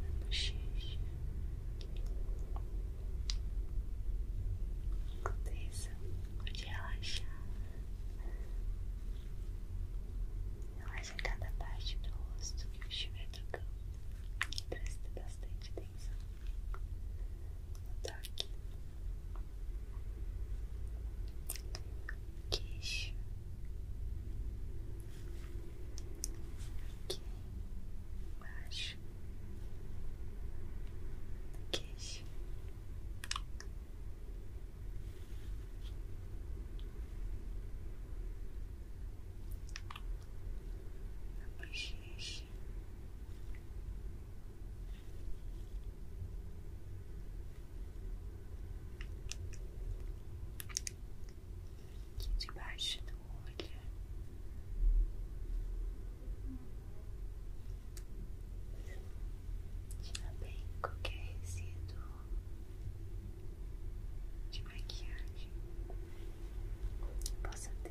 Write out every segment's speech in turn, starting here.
na bochecha. Aconteça de relaxar. Relaxa cada parte do rosto que estiver tocando. Presta bastante atenção no toque queixo. Aqui embaixo. Queixo. A aqui debaixo do olho. Tira bem qualquer resíduo de maquiagem que possa ter.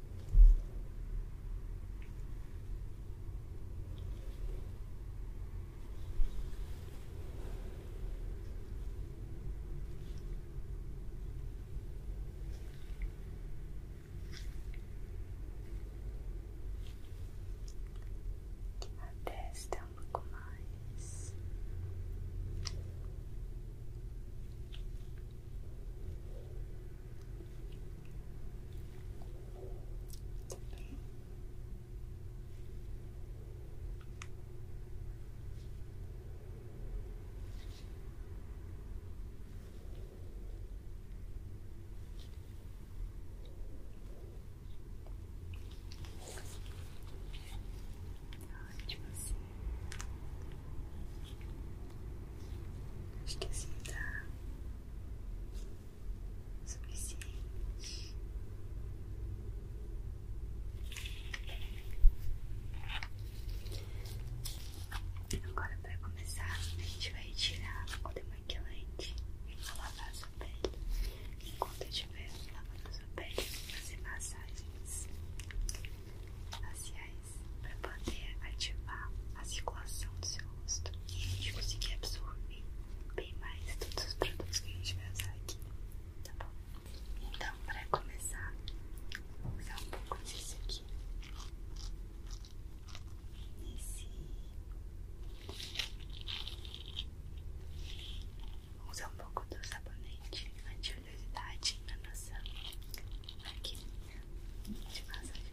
A testa um pouco mais. Ótimo assim. Acho que assim tá suficiente. Agora, para começar, a gente vai tirar o demaquilante e vou lavar a sua pele. Enquanto estiver lavando a sua pele, fazer massagens faciais para poder ativar a circulação do seu rosto. E a gente conseguir absorver bem mais todos os produtos que a gente vai usar aqui. Tá bom? Então, para começar, vou usar um pouco disso aqui. Esse. Vou usar um pouco do sabonete anti-oleosidade na nossa máquina de massagem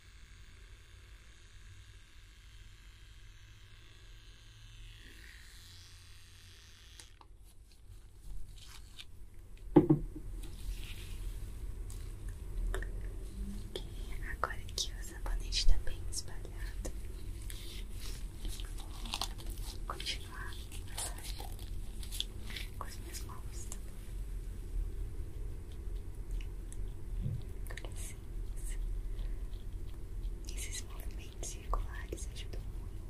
agora que o sabonete está bem espalhado. Vou continuar a massagem com as minhas mãos tá esses movimentos circulares ajudam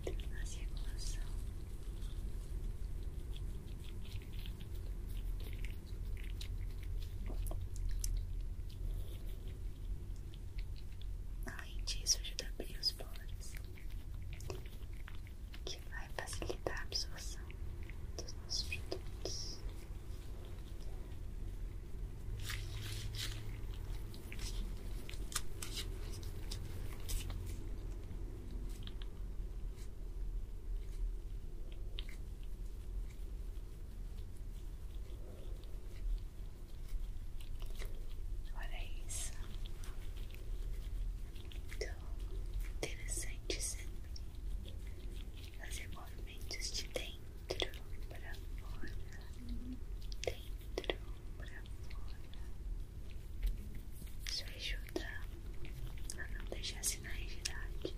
muito na circulação. Além disso, ajuda a abrir os poros que vai facilitar a absorção dos nossos produtos. Olha isso então interessante sempre fazer movimentos de dentro para fora, dentro para fora. Isso ajuda a não deixar sinais de idade.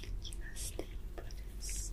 Aqui nas têmporas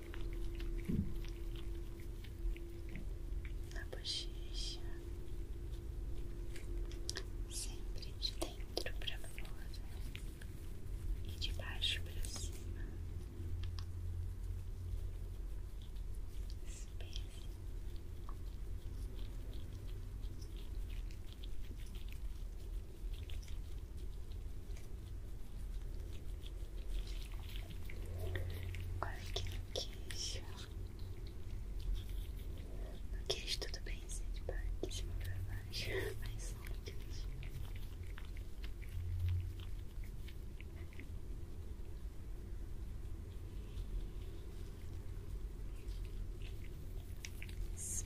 na bochecha, sempre de dentro para fora e de baixo para cima, espelho. Agora aqui no queixo. No queixo tudo bem, sente de parte, de cima pra baixo. Mas só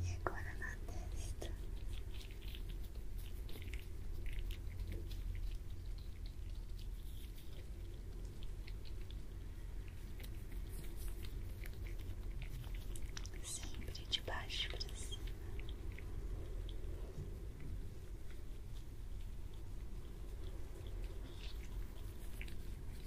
E agora na testa. Sempre de baixo para cima.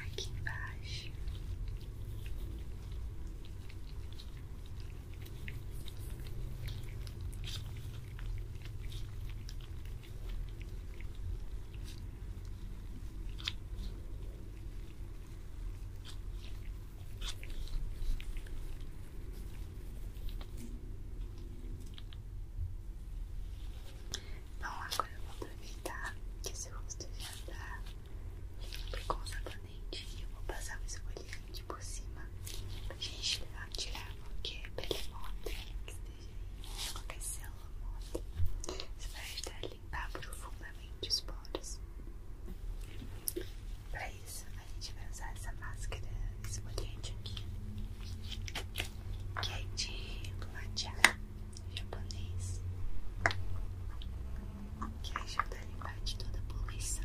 aqui embaixo. Bom, agora eu vou aproveitar que seu rosto já tá limpo com o sabonete e eu vou passar o esfoliante por cima pra gente tirar qualquer pele morta que esteja aí, né? qualquer célula morta. Isso vai ajudar a limpar profundamente os poros. Para isso, a gente vai usar essa máscara, esse molhete aqui, que é de matcha japonês, que ajuda a limpar de toda a poluição.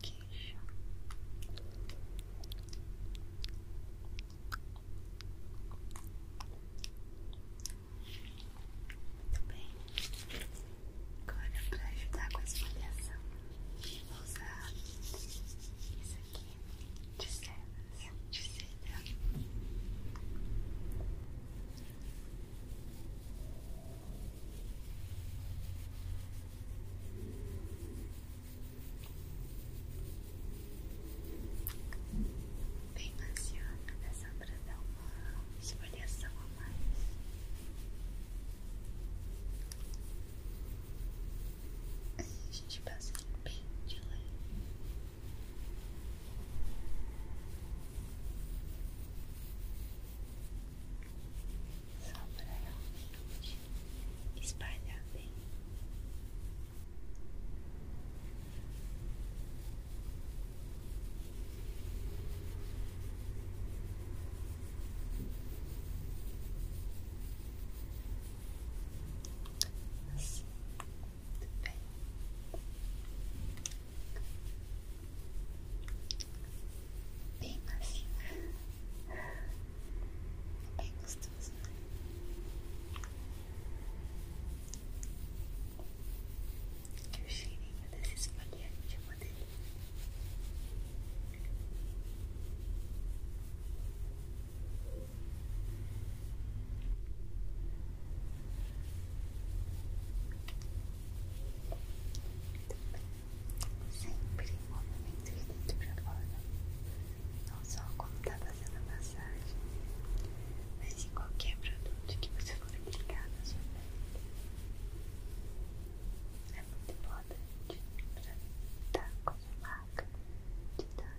queixo. Muito bem. Agora, para ajudar com a esfoliação, vou usar isso aqui de cenas de seda. Bem passeando dessa pra dar uma esfoliação a mais. a gente passa bem de leve. Só para realmente espalhar bem. Assim. Muito bem. Bem macio. É bem gostoso, né? Que o cheirinho desse esfoliante é uma delícia. Sempre movimento de dentro pra fora. Não só como tá fazendo a massagem, mas em qualquer produto que você for aplicar na sua pele. É muito importante pra evitar qualquer marca de dano.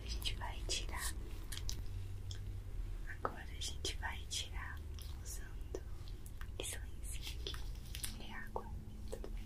Agora a gente vai tirar. usando esse lencinho aqui. É água, tudo bem?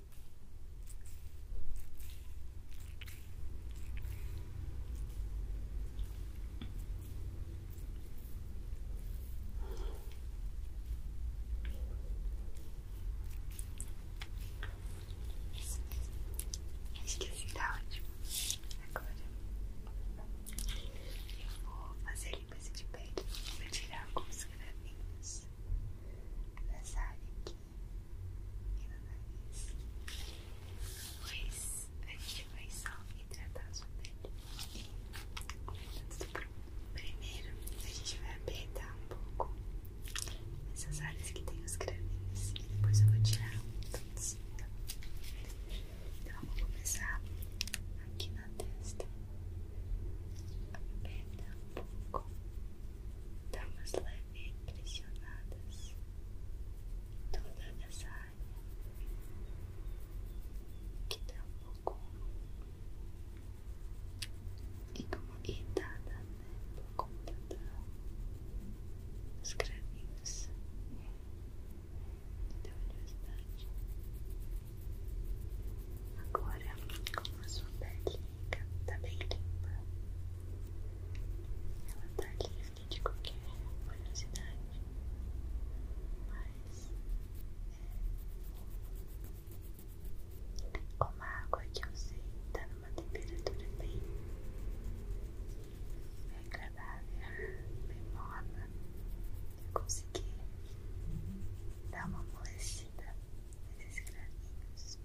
Acho que assim tá ótimo. Agora eu vou fazer limpeza de pele. Vou tirar alguns gravinhos nessa área aqui. Pois a gente vai só hidratar a sua pele. Tá tudo pronto. Primeiro a gente vai apertar um pouco essas áreas que tem os cravinhos depois eu vou tirar todos. Então eu vou começar aqui na testa. Aperta um um pouco. Damas tá, leve é pressionadas toda essa área que dá tá um pouco é incomodada, né? Por conta dos cravinhos é, da universidade. Agora, a sua perninha tá bem limpa. Ela tá livre de qualquer oleosidade, mas é, como a água que eu sei tá numa temperatura bem agradável, bem morna, eu consegui dar uma amolecida esses gravinhos,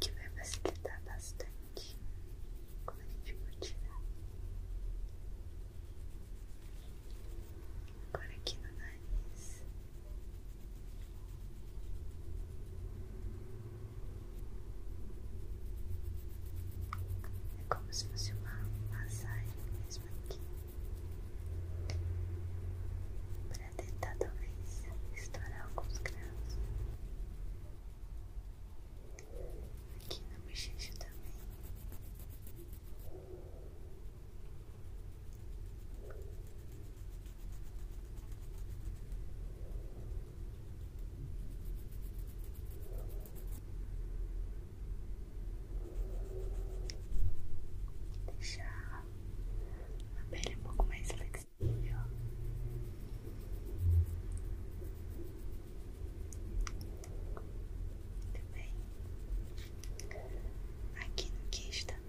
que vai facilitar bastante quando a gente for tirar. Agora aqui no nariz. É como se fosse uma massagem mesmo aqui para tentar talvez estourar alguns graus aqui na bochecha também. Deixar a pele é um pouco mais flexível. Muito bem. Aqui no queixo também.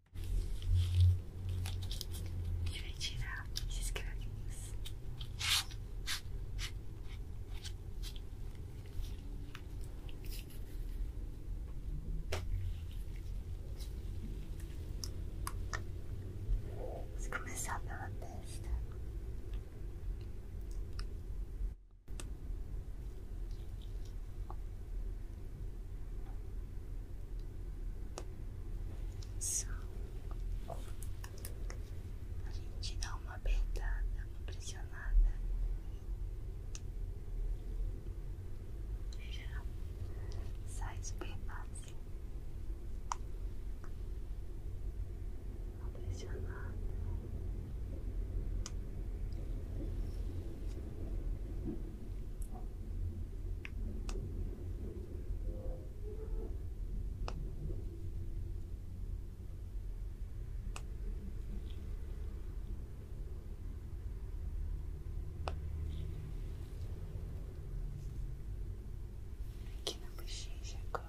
A gente vai tirar esses cravinhos. começar pela testa a gente dá uma apertada, tá? uma pressionada e já sai super fácil. Uma pressionada. Aqui não bochecha agora.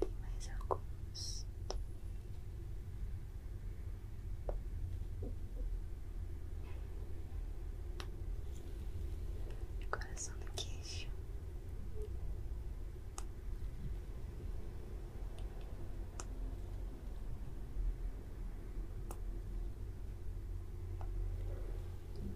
Tem mais alguns. Coração do queixo.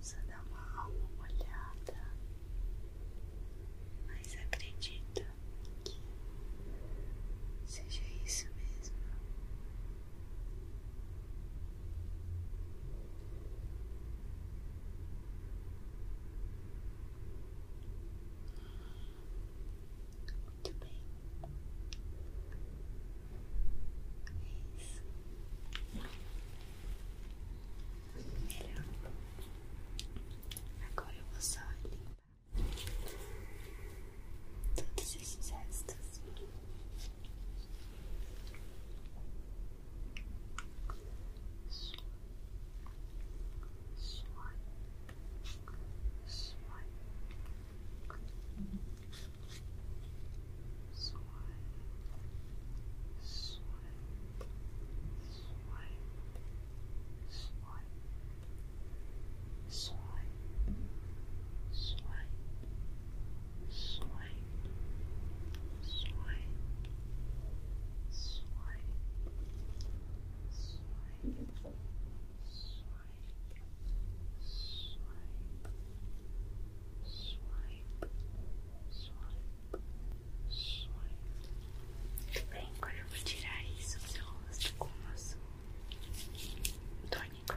Só dá uma, uma olhada, mas acredito que seja isso mesmo. Muito bem. É Melhor. Agora eu vou só limpar todos esses restos. swipe, swipe, swipe, swipe, swipe, swipe, swipe, swipe, swipe, swipe, swipe, swipe, swipe, swipe, swipe, swipe, swipe. Bem, agora eu vou tirar isso do seu rosto com o nosso tônico.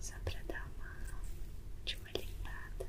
Só para dar uma de uma limpada.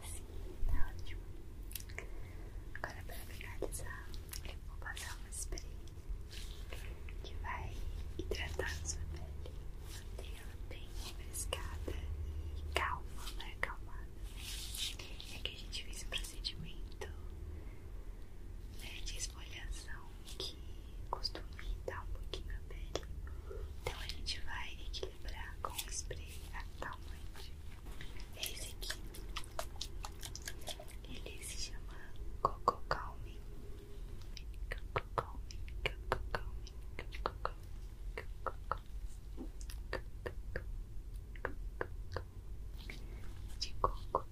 Assim, tá ótimo. Agora, para finalizar, eu vou passar uma spray que vai hidratar a sua pele, manter ela bem refrescada e calma, né? Calmada. É que a gente fez um procedimento né, de esfoliação que costuma irritar um pouquinho a pele. Então, a gente vai equilibrar vibrar com o spray acalmante. Esse aqui, ele se chama Coco Calming. Coco Calming, Coco Calming, Coco Calming, Coco Calming, Coco Calming, de coco.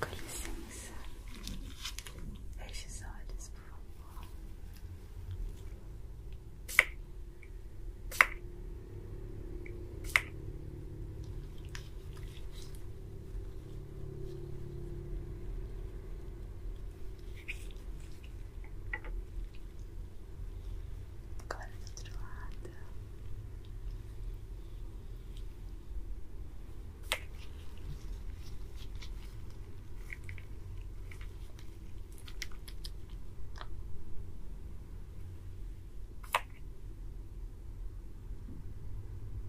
Com licença, feche os olhos, por favor. Agora do outro lado.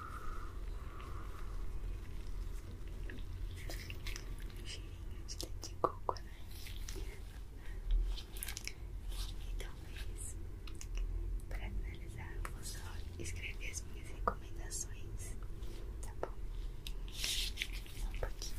Cheirinho de leite de coco, né? E talvez, para finalizar, eu vou só escrever as minhas recomendações, tá bom? Só um pouquinho.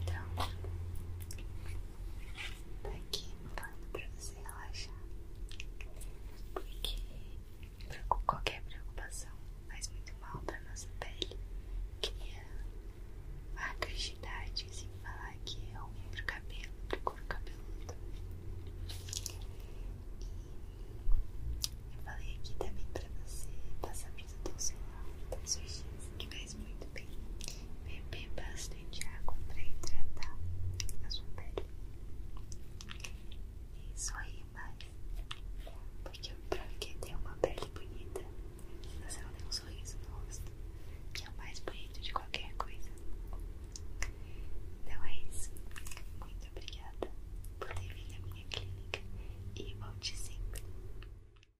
Então, tá aqui falando tá pra você relaxar. Porque qualquer preocupação faz muito mal pra nossa pele. Cria a de idade, sem falar que é ruim pro cabelo, pro couro cabeludo. E eu falei aqui também pra você passar protetor do todos os dias que faz muito bem beber bastante água para hidratar a sua pele. E sorrir mais, porque pra que ter uma pele bonita, você não tem um sorriso no rosto, que é o mais bonito de qualquer coisa. Então é isso. Muito obrigada por ter vindo à minha clínica e volte sempre.